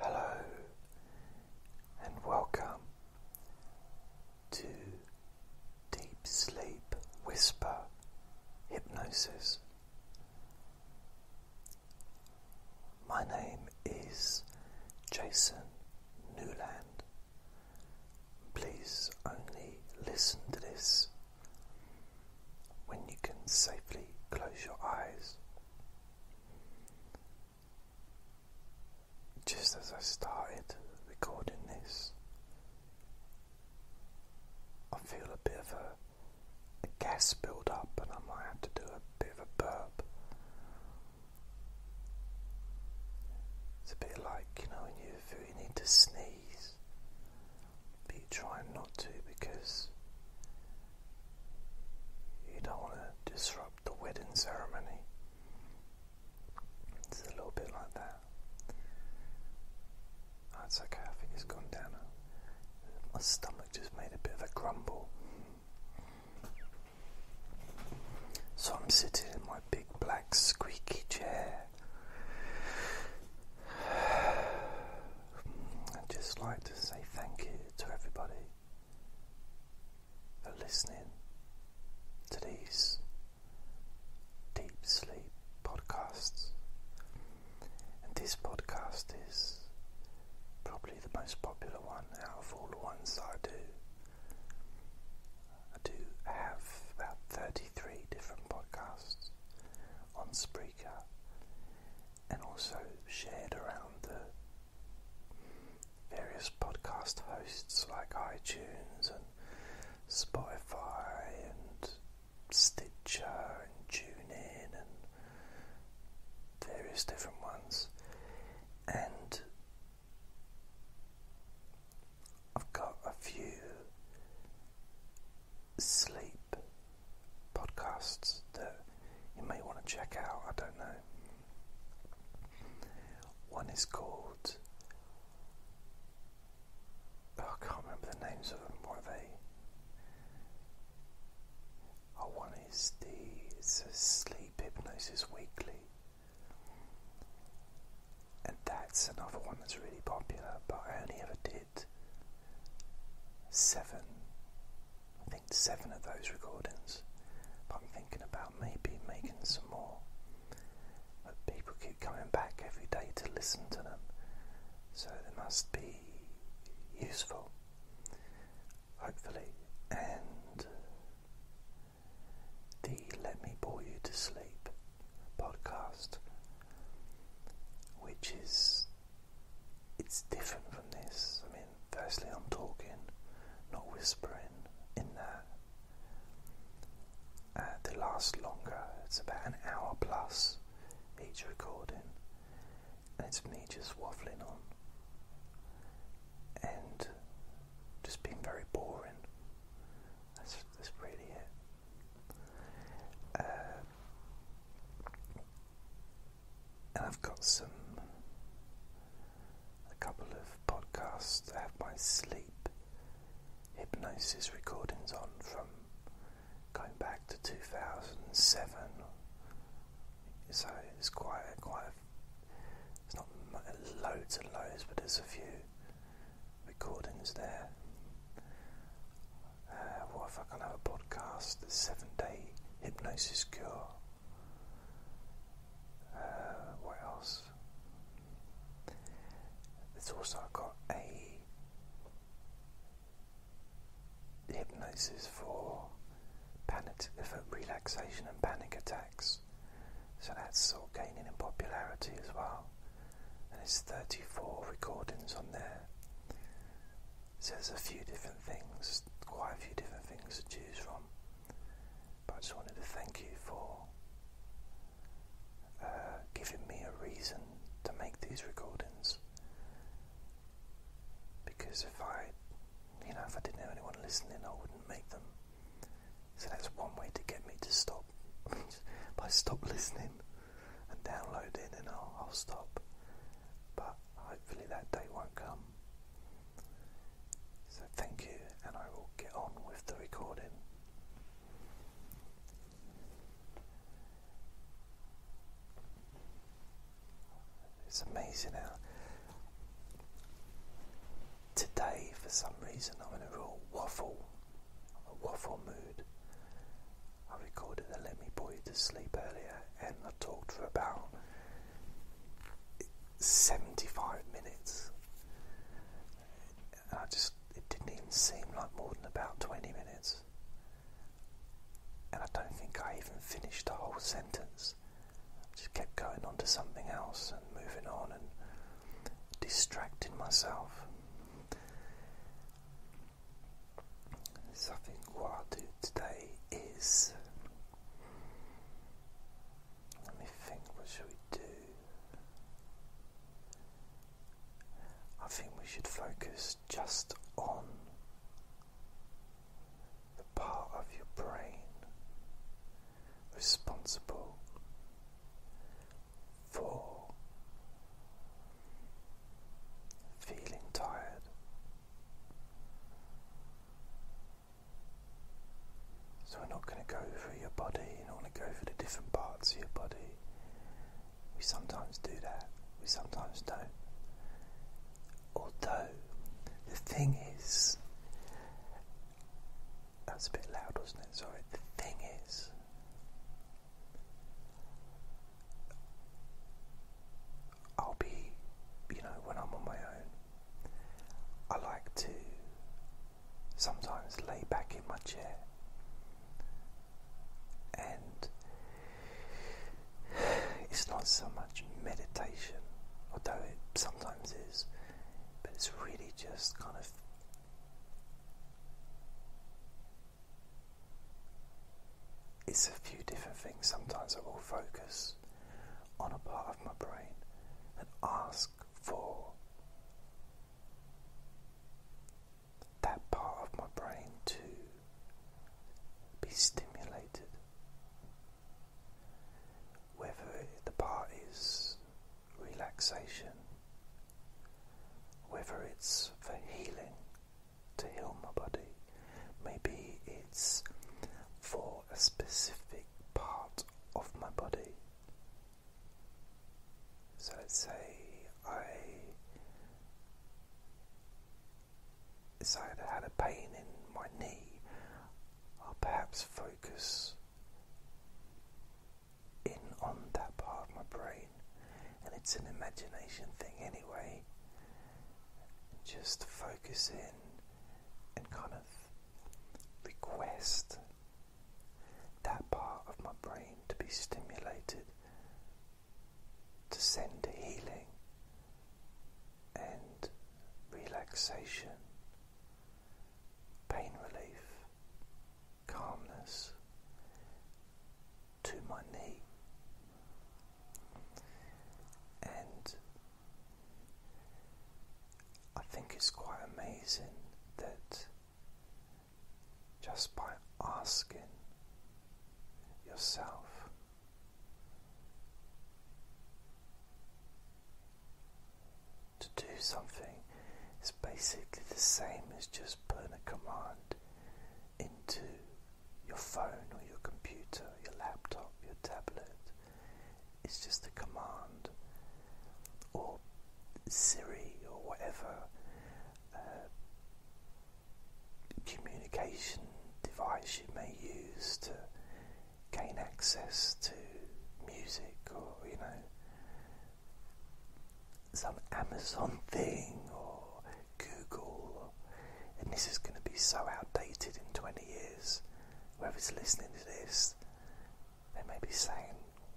Hello and welcome to Deep Sleep Whisper Hypnosis. My name is Jason Newland. Please only listen to this when you can safely close your eyes. Just as I started recording this, I feel a bit of a, gas build up, and I might have to do a bit of a burp. It's a bit like you know when you feel you need to sneeze, but you are trying not to because you don't want to disrupt the wedding ceremony. It's a little bit like that. That's oh, okay, I has gone down. My stomach just made a bit of a grumble. So I'm sitting in my big black squeaky chair. I'd just like to say thank you to everybody listening to these deep sleep podcasts. And this podcast is probably the most popular one out of all the ones that I do. I do have about 33 different podcasts on Spreaker and also shared around the various podcast hosts like iTunes and Spotify and Stitcher and TuneIn and various different ones. And I've got a few sleep podcasts that you may want to check out. I don't know. One is called. Oh, I can't remember the names of them. What are they? Oh, one is the it's a sleep hypnosis weekly, and that's another one that's really popular. But I only ever did seven I think seven of those recordings. But I'm thinking about maybe making some more. But people keep coming back every day to listen to them, so they must be useful, hopefully. And uh, the Let Me Bore You to Sleep podcast, which is it's different from this. I mean, firstly, I'm talking, not whispering in that. Uh, they last longer, it's about an hour plus each recording, and it's me just waffling on and just being very boring. That's, that's really it. Uh, and I've got some, a couple of podcasts I have my sleep hypnosis recordings on from going back to 2007. So it's quite, quite, a, it's not loads and loads, but there's a few recordings there. Uh, what if I can have a podcast? The seven day hypnosis cure. Uh, what else? There's also got a hypnosis for panic, for relaxation and panic attacks. So that's sort gaining in popularity as well. And it's 34 recordings on there. So there's a few different things, quite a few different things to choose from. But I just wanted to thank you for uh, giving me a reason to make these recordings. Because if I, you know, if I didn't have anyone listening, I wouldn't make them. So that's one way to get me to stop by stop listening and download it, and I'll, I'll stop. But hopefully that day won't come. So thank you, and I will get on with the recording. It's amazing how today, for some reason, I'm in a real waffle, a waffle mood. I recorded the Let Me Put You to Sleep earlier and I talked for about 75 minutes. And I just, it didn't even seem like more than about 20 minutes. And I don't think I even finished the whole sentence. I just kept going on to something else and moving on and distracting myself. So I think what I'll do today is let me think what should we do? I think we should focus just on the part of your brain responsible for feeling tired. So, we're not going to go through your body, you don't want to go through the different parts of your body. We sometimes do that, we sometimes don't. Although, the thing is, that's a bit loud, wasn't it? Sorry, the thing is, I'll be, you know, when I'm on my own, I like to sometimes lay back in my chair and it's not so much meditation, although it sometimes is, but it's really just kind of it's a few different things. Sometimes I will focus on a part of my brain and ask for that part of my brain to be stimulated. Whether the part is relaxation, whether it's for healing, to heal my body. Maybe it's for a specific part of my body. So let's say I decided I had a pain in my knee, I'll perhaps focus in on that part of my brain and it's an imagination thing anyway. Just focus in and kind of request that part of my brain to be stimulated to send healing and relaxation, pain relief, calmness, to my knee. And I think it's quite amazing that just by asking yourself to do something, it's basically the same as just putting a command into your phone or your computer, your laptop, your tablet. It's just a command or Siri or whatever uh, communication device you may use to gain access to music or you know some Amazon thing or Google, and this is going to be so outdated in 20 years. Whoever's listening to this, they may be saying,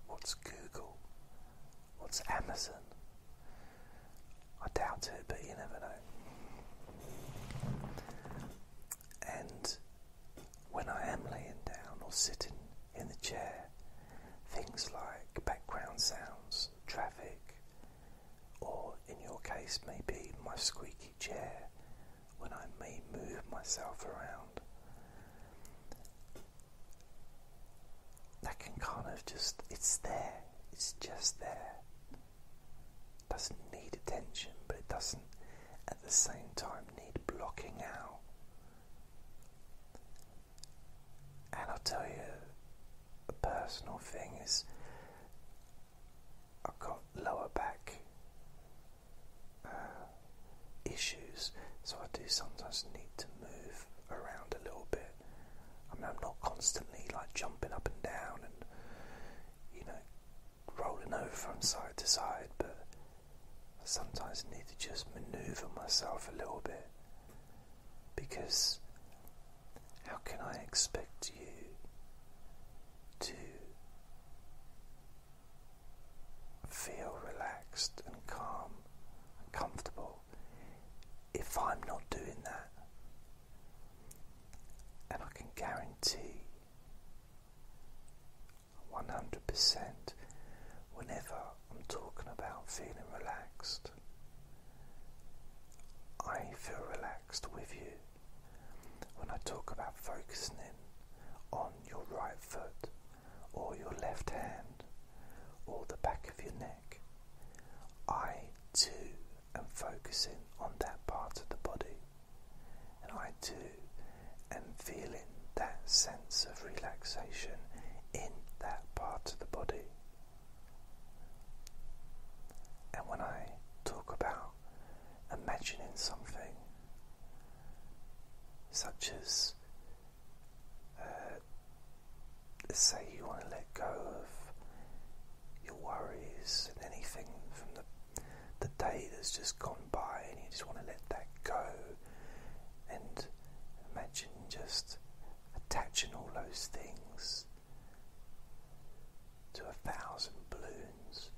What's Google? What's Amazon? I doubt it, but you never know. And when I am laying down or sitting in the chair, things like background sounds traffic, or in your case, maybe my squeaky chair when I may move myself around. That can kind of just, it's there, it's just there. Doesn't need attention, but it doesn't at the same time need blocking out. And I'll tell you a personal thing is I've got lower back uh, issues, so I do sometimes need to move around a little bit. I am not constantly like jumping up and down and you know rolling over from side to side, but I sometimes need to just maneuver myself a little bit because how can I expect you to feel relaxed and calm and comfortable if I'm not doing that? And I can guarantee 100% whenever I'm talking about feeling relaxed. I feel relaxed with you when I talk about focusing in on your right foot or your left hand or the back of your neck. I too am focusing on that part of the body and I too am feeling that sense sense of relaxation in that part of the body. And when I talk about imagining something, such as uh, say you want to let go of your worries and anything from the, the day that's just gone by, and you just want to let that go, and imagine just attaching all those things to a thousand balloons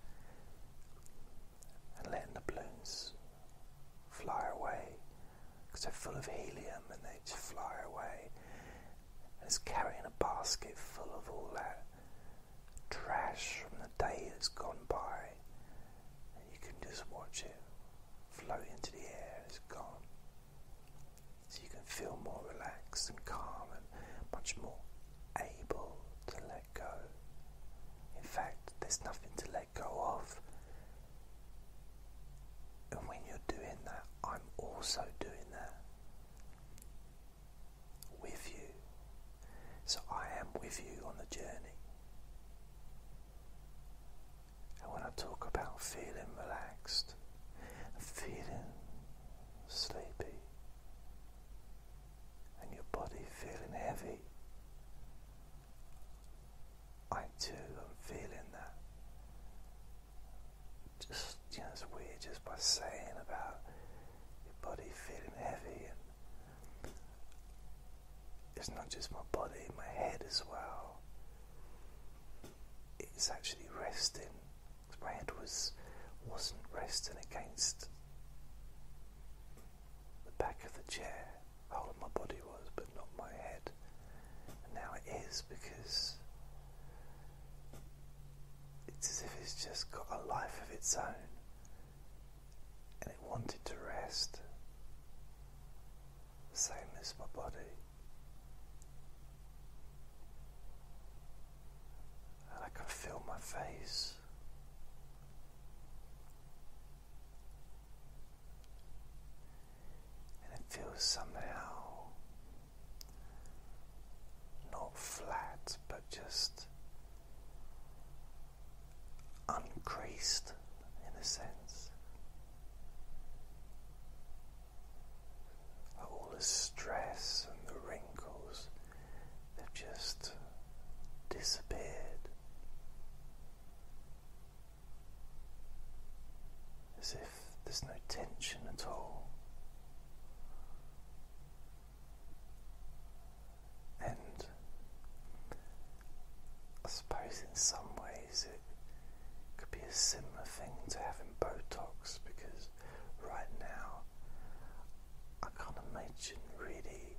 and letting the balloons fly away because they're full of helium and they just fly away. And it's carrying a basket full of all that trash from the day that's gone by and you can just watch it float into the air and it's gone. So you can feel more relaxed and calm and much more able to let go. In fact, there's nothing to let go of. And when you're doing that, I'm also doing that with you. So I am with you on the journey. And when I talk about feeling relaxed and feeling sleepy and your body feeling heavy, I too am feeling that. Just, you know, it's weird just by saying about your body feeling heavy it's not just my body, my head as well. It's actually resting. Because my head was wasn't resting against the back of the chair. The whole of my body was, but not my head. And now it is because it's as if it's just got a life of its own and it wanted to rest same as my body. And I can feel my face. And it feels somehow not flat but just uncreased in a sense, all the stress and the wrinkles have just disappeared. As if there's no tension at all. And I suppose in some ways it could be a similar thing to having Botox because right now I can't imagine really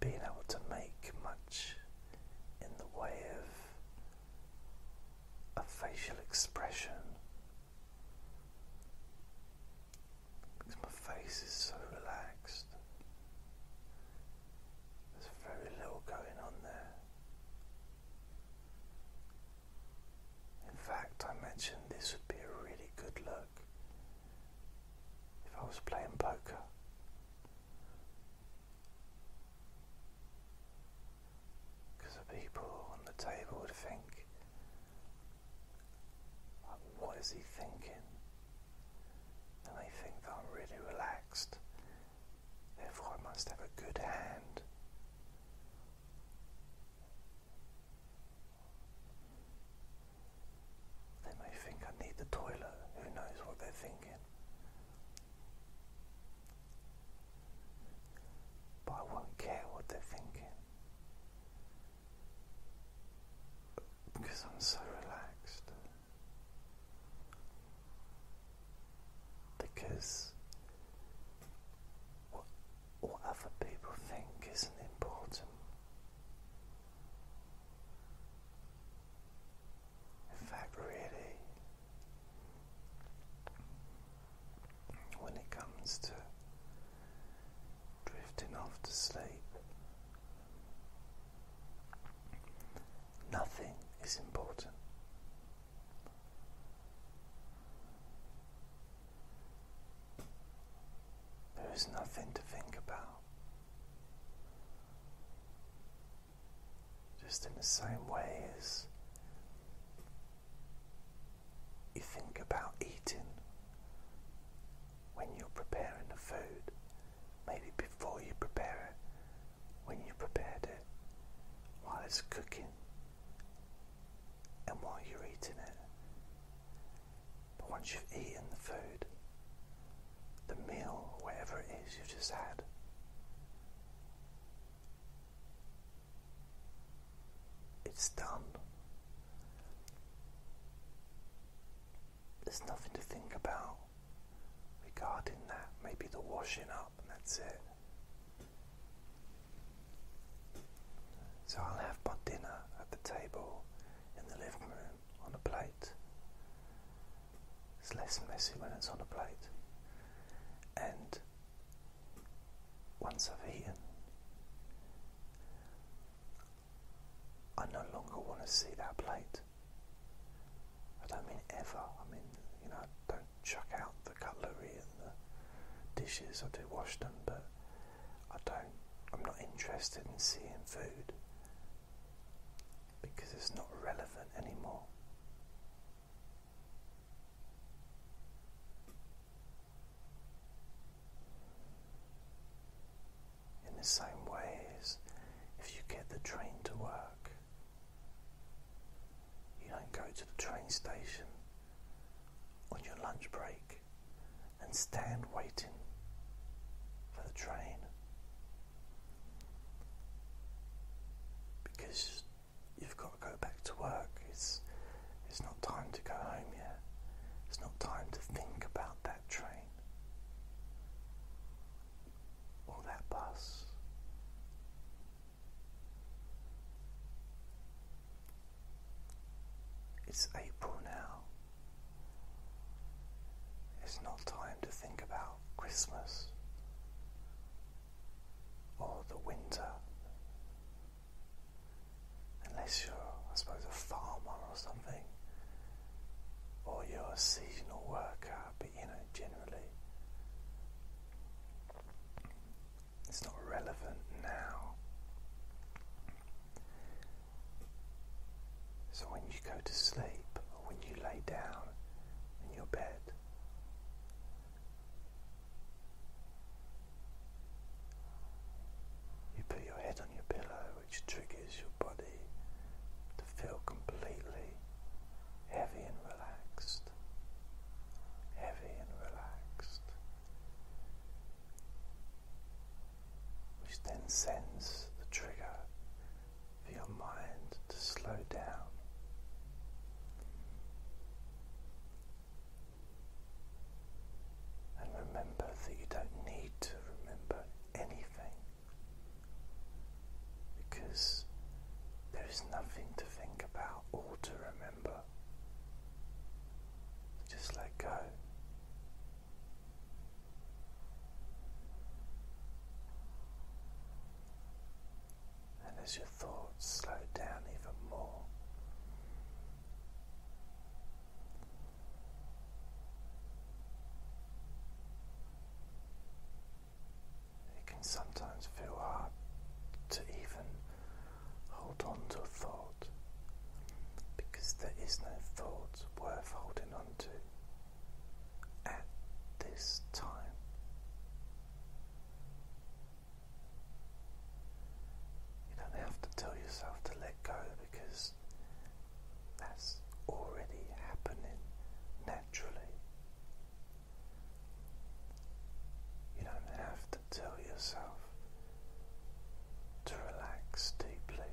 being able to make much in the way of a facial expression. Because my face is so relaxed. There's very little going on there. In fact, I mentioned this would be a really good look if I was playing poker. Because the people on the table would think, what is he thinking? and they think that I'm really relaxed, therefore I must have a good hand. They may think I need the toilet, who knows what they're thinking. But I won't care what they're thinking because I'm so relaxed because what, other people think isn't important. In fact, really, when it comes to drifting off to sleep, Nothing is important. There is nothing to think about. Just in the same way as you think about eating when you're preparing the food, maybe before you prepare it, when you prepared it, while it's cooking, and while you're eating it. But once you've eaten the food, the meal, whatever it is you've just had, it's done. There's nothing to think about regarding that. Maybe the washing up, and that's it. So I'll have my dinner at the table in the living room on a plate. It's less messy when it's on a plate. And once I've eaten, I no longer want to see that plate. I don't mean ever. I mean, you know, don't chuck out the cutlery and the dishes. I do wash them, but I don't. I'm not interested in seeing food because it's not relevant anymore in the same way as if you get the train to work. You don't go to the train station on your lunch break and stand waiting for the train because you've got to go back to work. It's, it's not time to go home yet. It's not time to think about that train or that bus. It's April now. It's not time to think about Christmas or the winter. Unless you're, I suppose, a farmer or something, or you're a seasonal worker, but you know, generally, it's not relevant now. So when you go to sleep, or when you lay down in your bed, you put your head on your pillow which triggers your body to feel completely heavy and relaxed, heavy and relaxed, which then sends the trigger for your mind to slow down. And remember that you don't need to remember anything because there is nothing to think about or to remember. Just let go. And as your thoughts slow down even more, it can sometimes feel hard to even hold on to a thought because there is no thought worth holding on to at this time. You don't have to tell yourself to let go because that's already happening naturally. You don't have to tell yourself to relax deeply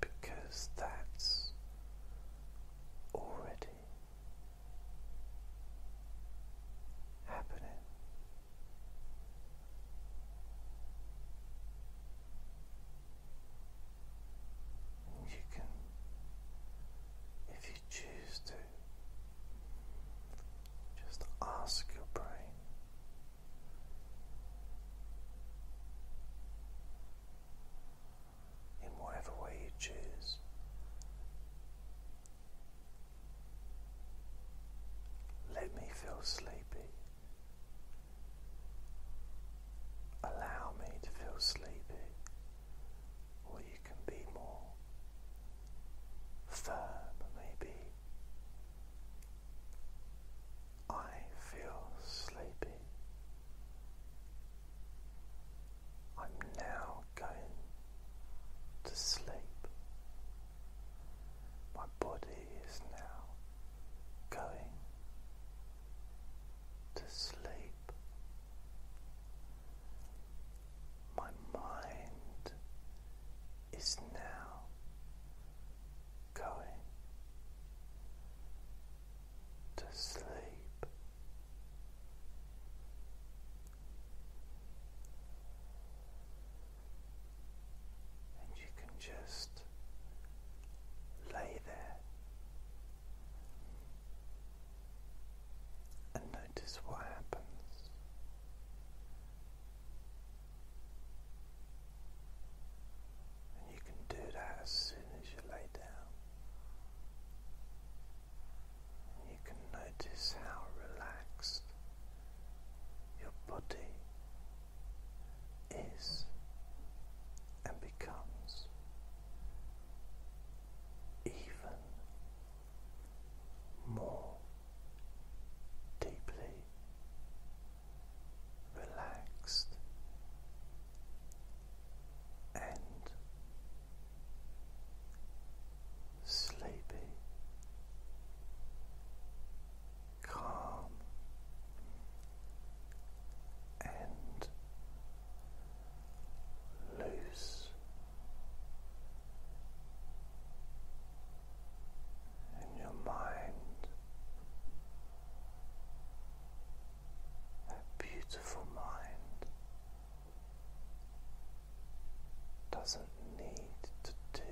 because that's already happening. You can, if you choose to, just ask your brain. In whatever way you choose, let me feel sleepy. Allow me to feel sleepy, or you can be more firm, maybe. I feel sleepy. I'm now going to sleep. My body is now going to sleep. My mind is now going to sleep and you can just lay there and notice what happens. And you can do that as soon as you lay down. And you can notice how relaxed your body is and becomes even more deeply relaxed and sleepy, calm, and loose. And your mind, that beautiful mind, doesn't need to do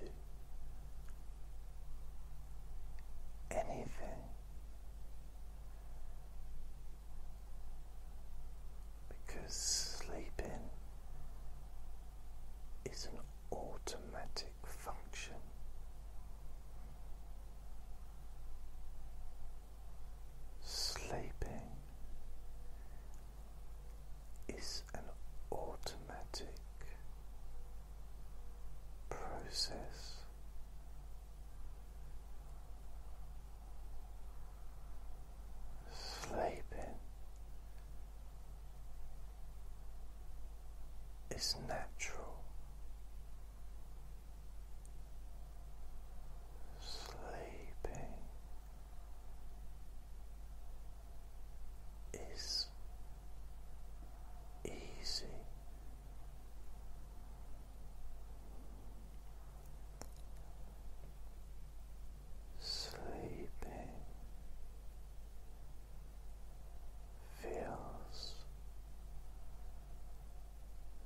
anything because sleeping is an automatic function. Sleeping is an automatic process. Sleeping is natural. Sleeping is easy. Sleeping feels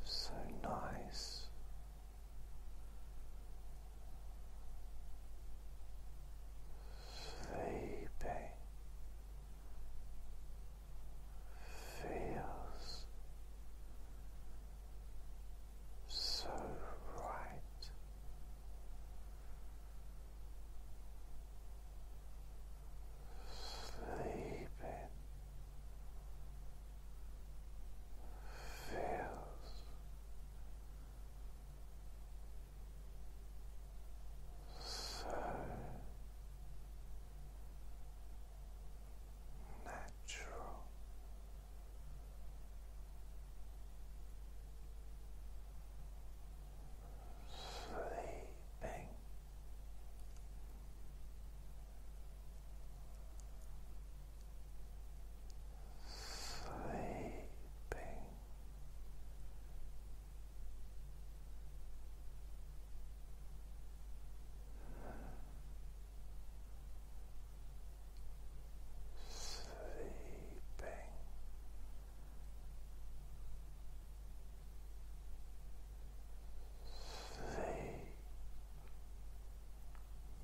so nice sleeping feels so right. Sleeping feels so natural. Sleeping sleeping. Sleeping. Sleep